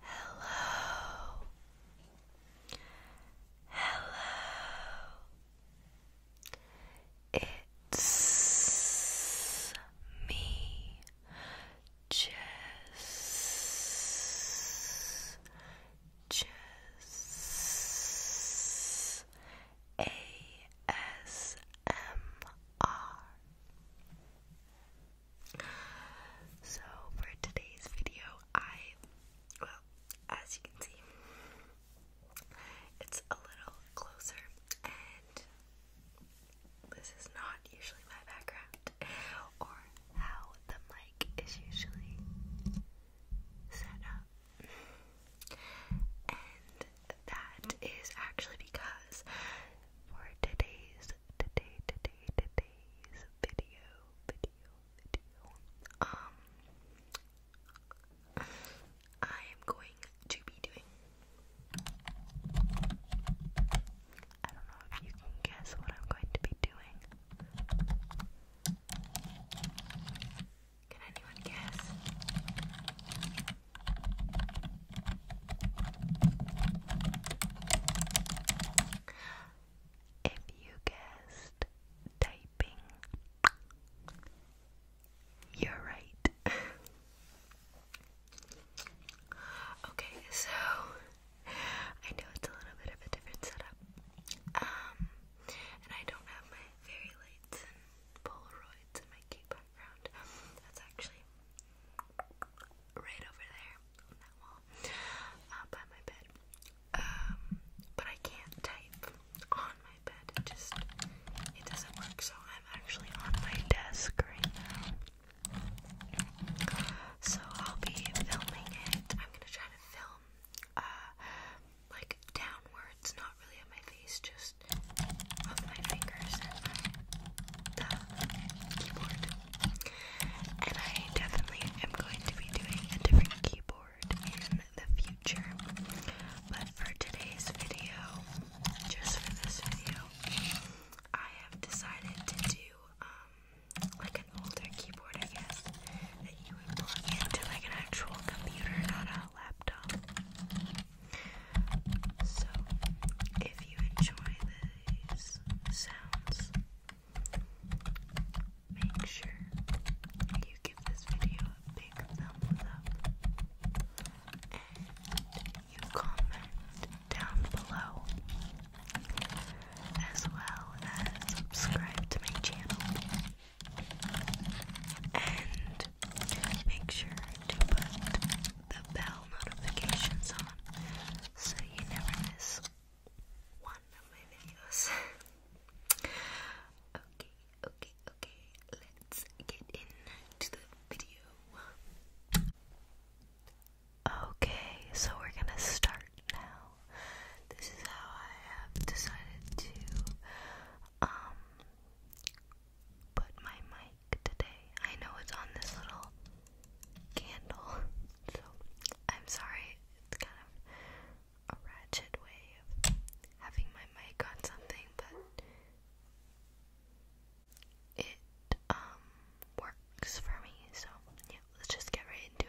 Hello. Hello. It's me, Jess. Jess. A S M R. So for today's video, I well, as you can see, it's a little closer, and this is not usually my background or how the mic is usually set up, and that is actually because for today's today, today, today's video, video, video, um, I am going to be doing, I don't know if you can guess what I'm going to be doing. Can anyone guess? If you guessed typing, you're right. okay, so I know it's a little bit of a different setup. Um, and I don't have my fairy lights and Polaroids in my background. That's actually right over there on that wall uh, by my bed. Um, but I can't type on my bed. just it doesn't work. So I'm actually on my desk right now. So I'll be filming it. I'm gonna try to film uh, like downwards, not really at my face, just off my fingers the keyboard. And I definitely am going to be doing a different keyboard in the future. But for today's video, just for this video, I have decided to do um, like an older keyboard I guess that you would plug into like an actual computer, not a laptop. So if you enjoy these sounds, make sure you give this video a big thumbs up you comment down below, as well as subscribe to my channel. And make sure to put the bell notifications on so you never miss one of my videos. okay, okay, okay, let's get into the video. Okay, so we're gonna start now. This is how I have decided to um, put my mic today. I know it's on this little candle, so I'm sorry. It's kind of a ratchet way of having my mic on something, but it um works for me. So yeah, let's just get right into it.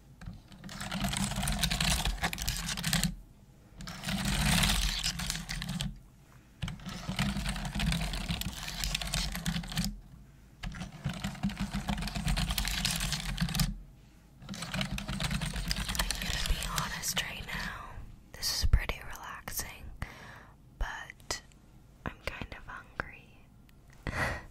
I'm going to be honest right now. This is pretty relaxing, but I'm kind of hungry.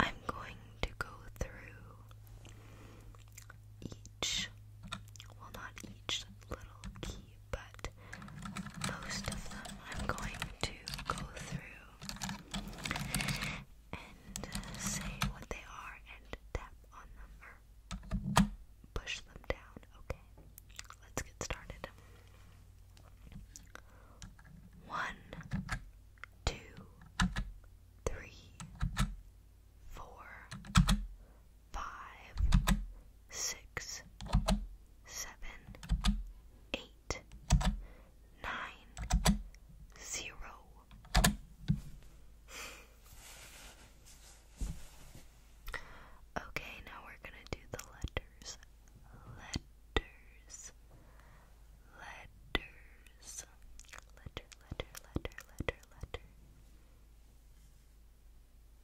I'm going to go through each, well, not each little key, but most of them I'm going to go through and uh, say what they are and tap on them or push them down, okay? Let's get started. One, two, three, four, five, six, seven, eight, nine, zero. Okay, now we're gonna do the letters. Letters. Letters. Letter, letter, letter, letter, letter.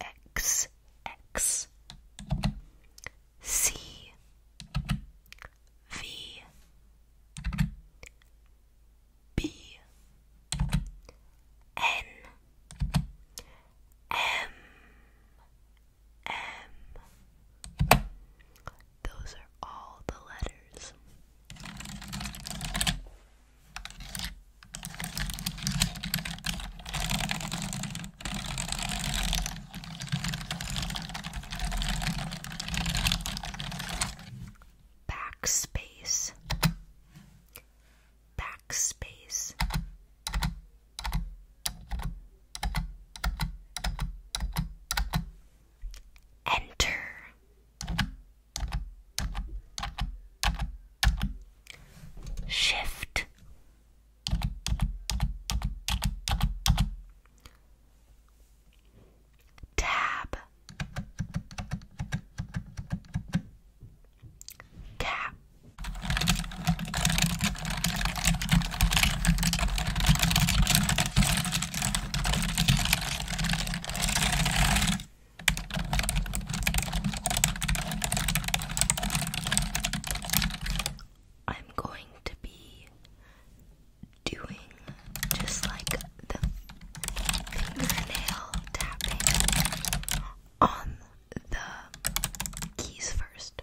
X X C V B N M M Those are all the letters. Backspace. Backspace. Enter. Shift. Tab. Cap. I'm going to be doing just like the fingernail tapping on the keys first.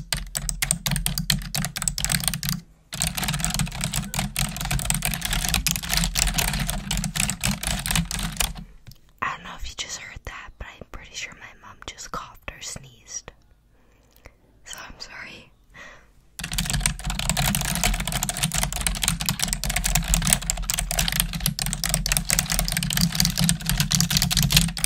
I don't know if you just heard that, but I'm pretty sure my mom just coughed or sneezed. So I'm sorry.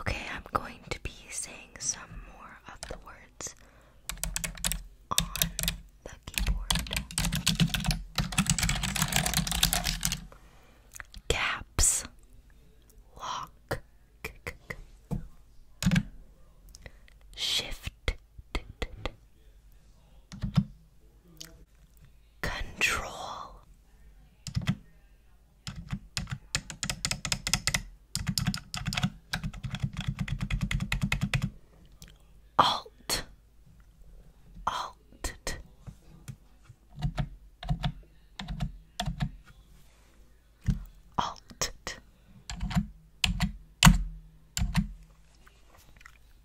Okay, I'm going to be saying some more of the words on the keyboard. Caps, lock, shift, Control. Alt. Alt. Alt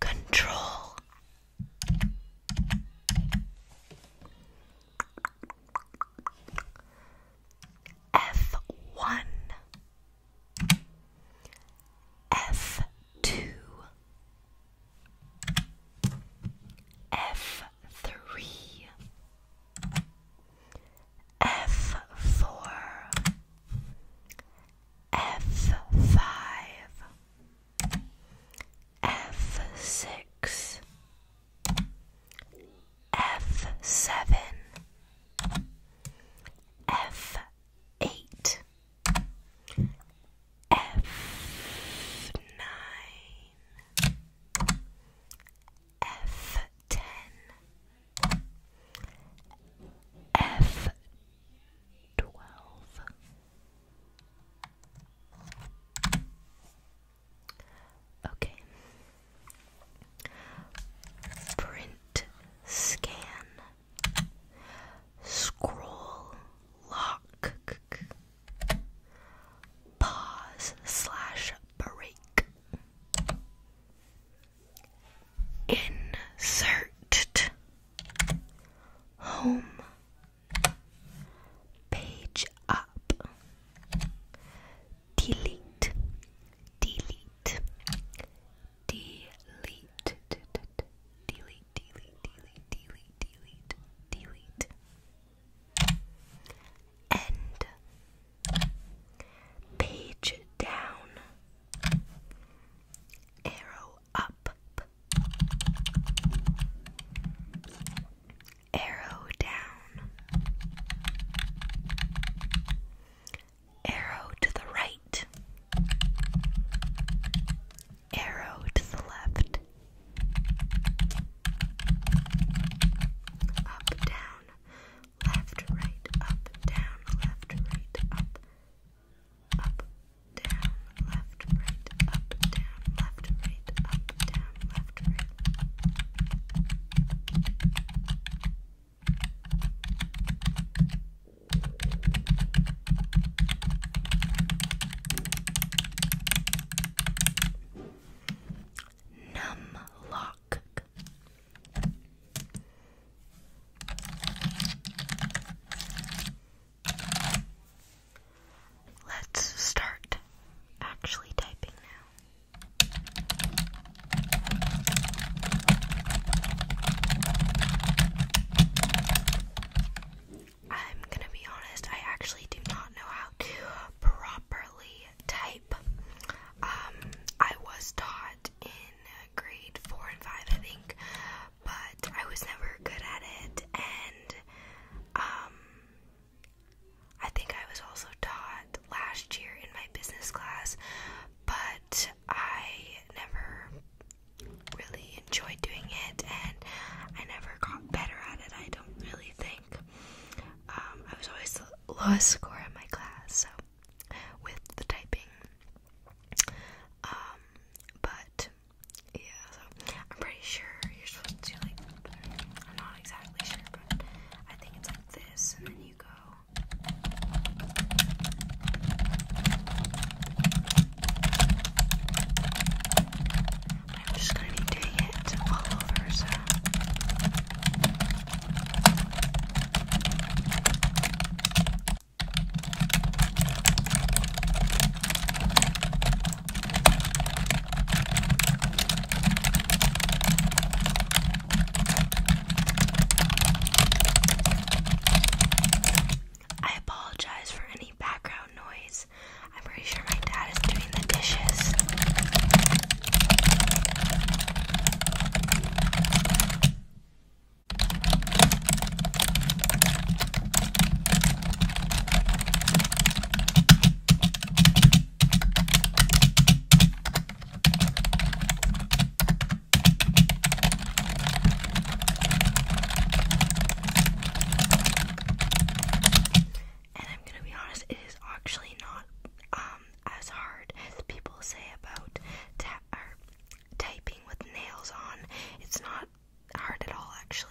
Control F one F two F three F four, F five, F six, F seven, F eight, F nine. F ten F twelve Okay Print scan Scroll lock pause slash break Insert home page up. Delete, delete, delete, delete, delete, delete, delete, End. Page down. Arrow up. Arrow down. Arrow to the right. Arrow to the left. Up, down left, right, up, down, left, right, up, up, down, left, right, up, down, left, right, up, down, left, right. Numlock. Let's start actually typing now. I'm gonna be honest, I actually do not know how to properly type. Um, I was taught in grade four and five, I think, but I was never good at it, and um, I think I was also taught last year in my business class, but I never really enjoyed doing it, and I never got better at it. I don't really think. Um, I was always the lowest score in my class, so with the typing. Um, but yeah, so I'm pretty sure you're supposed to like. I'm not exactly sure, but I think it's like this, and then you go. I'm just gonna be doing it all over, so. I apologize for any background noise. I'm pretty sure my dad is doing the dishes. And I'm gonna be honest, it is actually not um as hard as people say about typing with nails on. It's not hard at all, actually.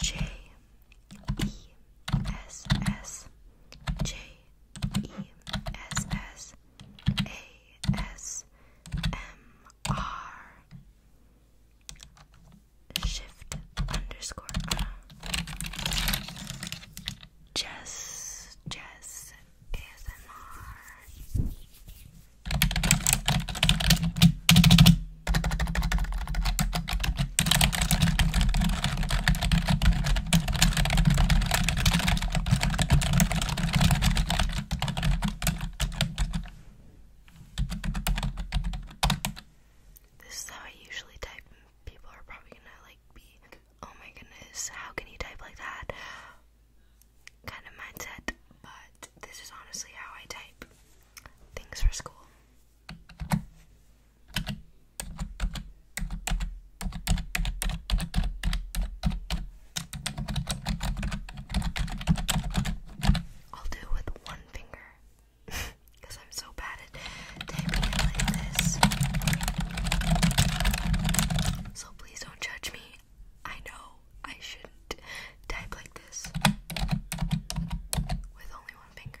J E S S J E S S A S M R shift underscore uh, Jess Jess ASMR this is how I usually type, people are probably gonna like be, oh my goodness, how can you type like that? Kind of mindset, but this is honestly how I type things for school. I'll do with one finger because I'm so bad at typing like this. So please don't judge me. I know I shouldn't type like this with only one finger.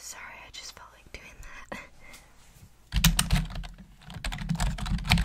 Sorry, I just felt like doing that.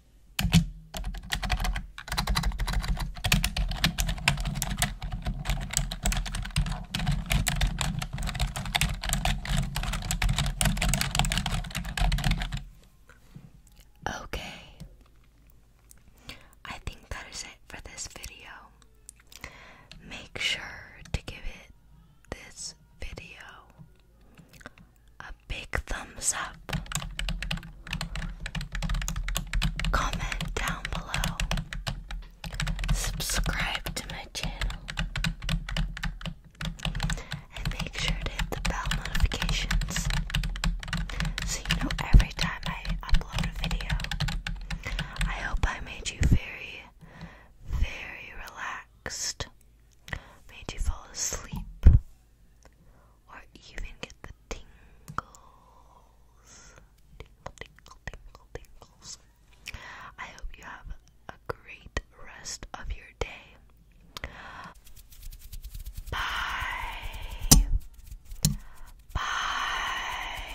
Okay, I think that is it for this video. Make sure to give it this video a big thumbs up, comment down below, subscribe to my channel, and make sure to hit the bell notifications so you know every time I upload a video. I hope I made you very, very relaxed. Made you fall asleep or even get the tingles. I hope you have a great rest of your day. Bye. Bye.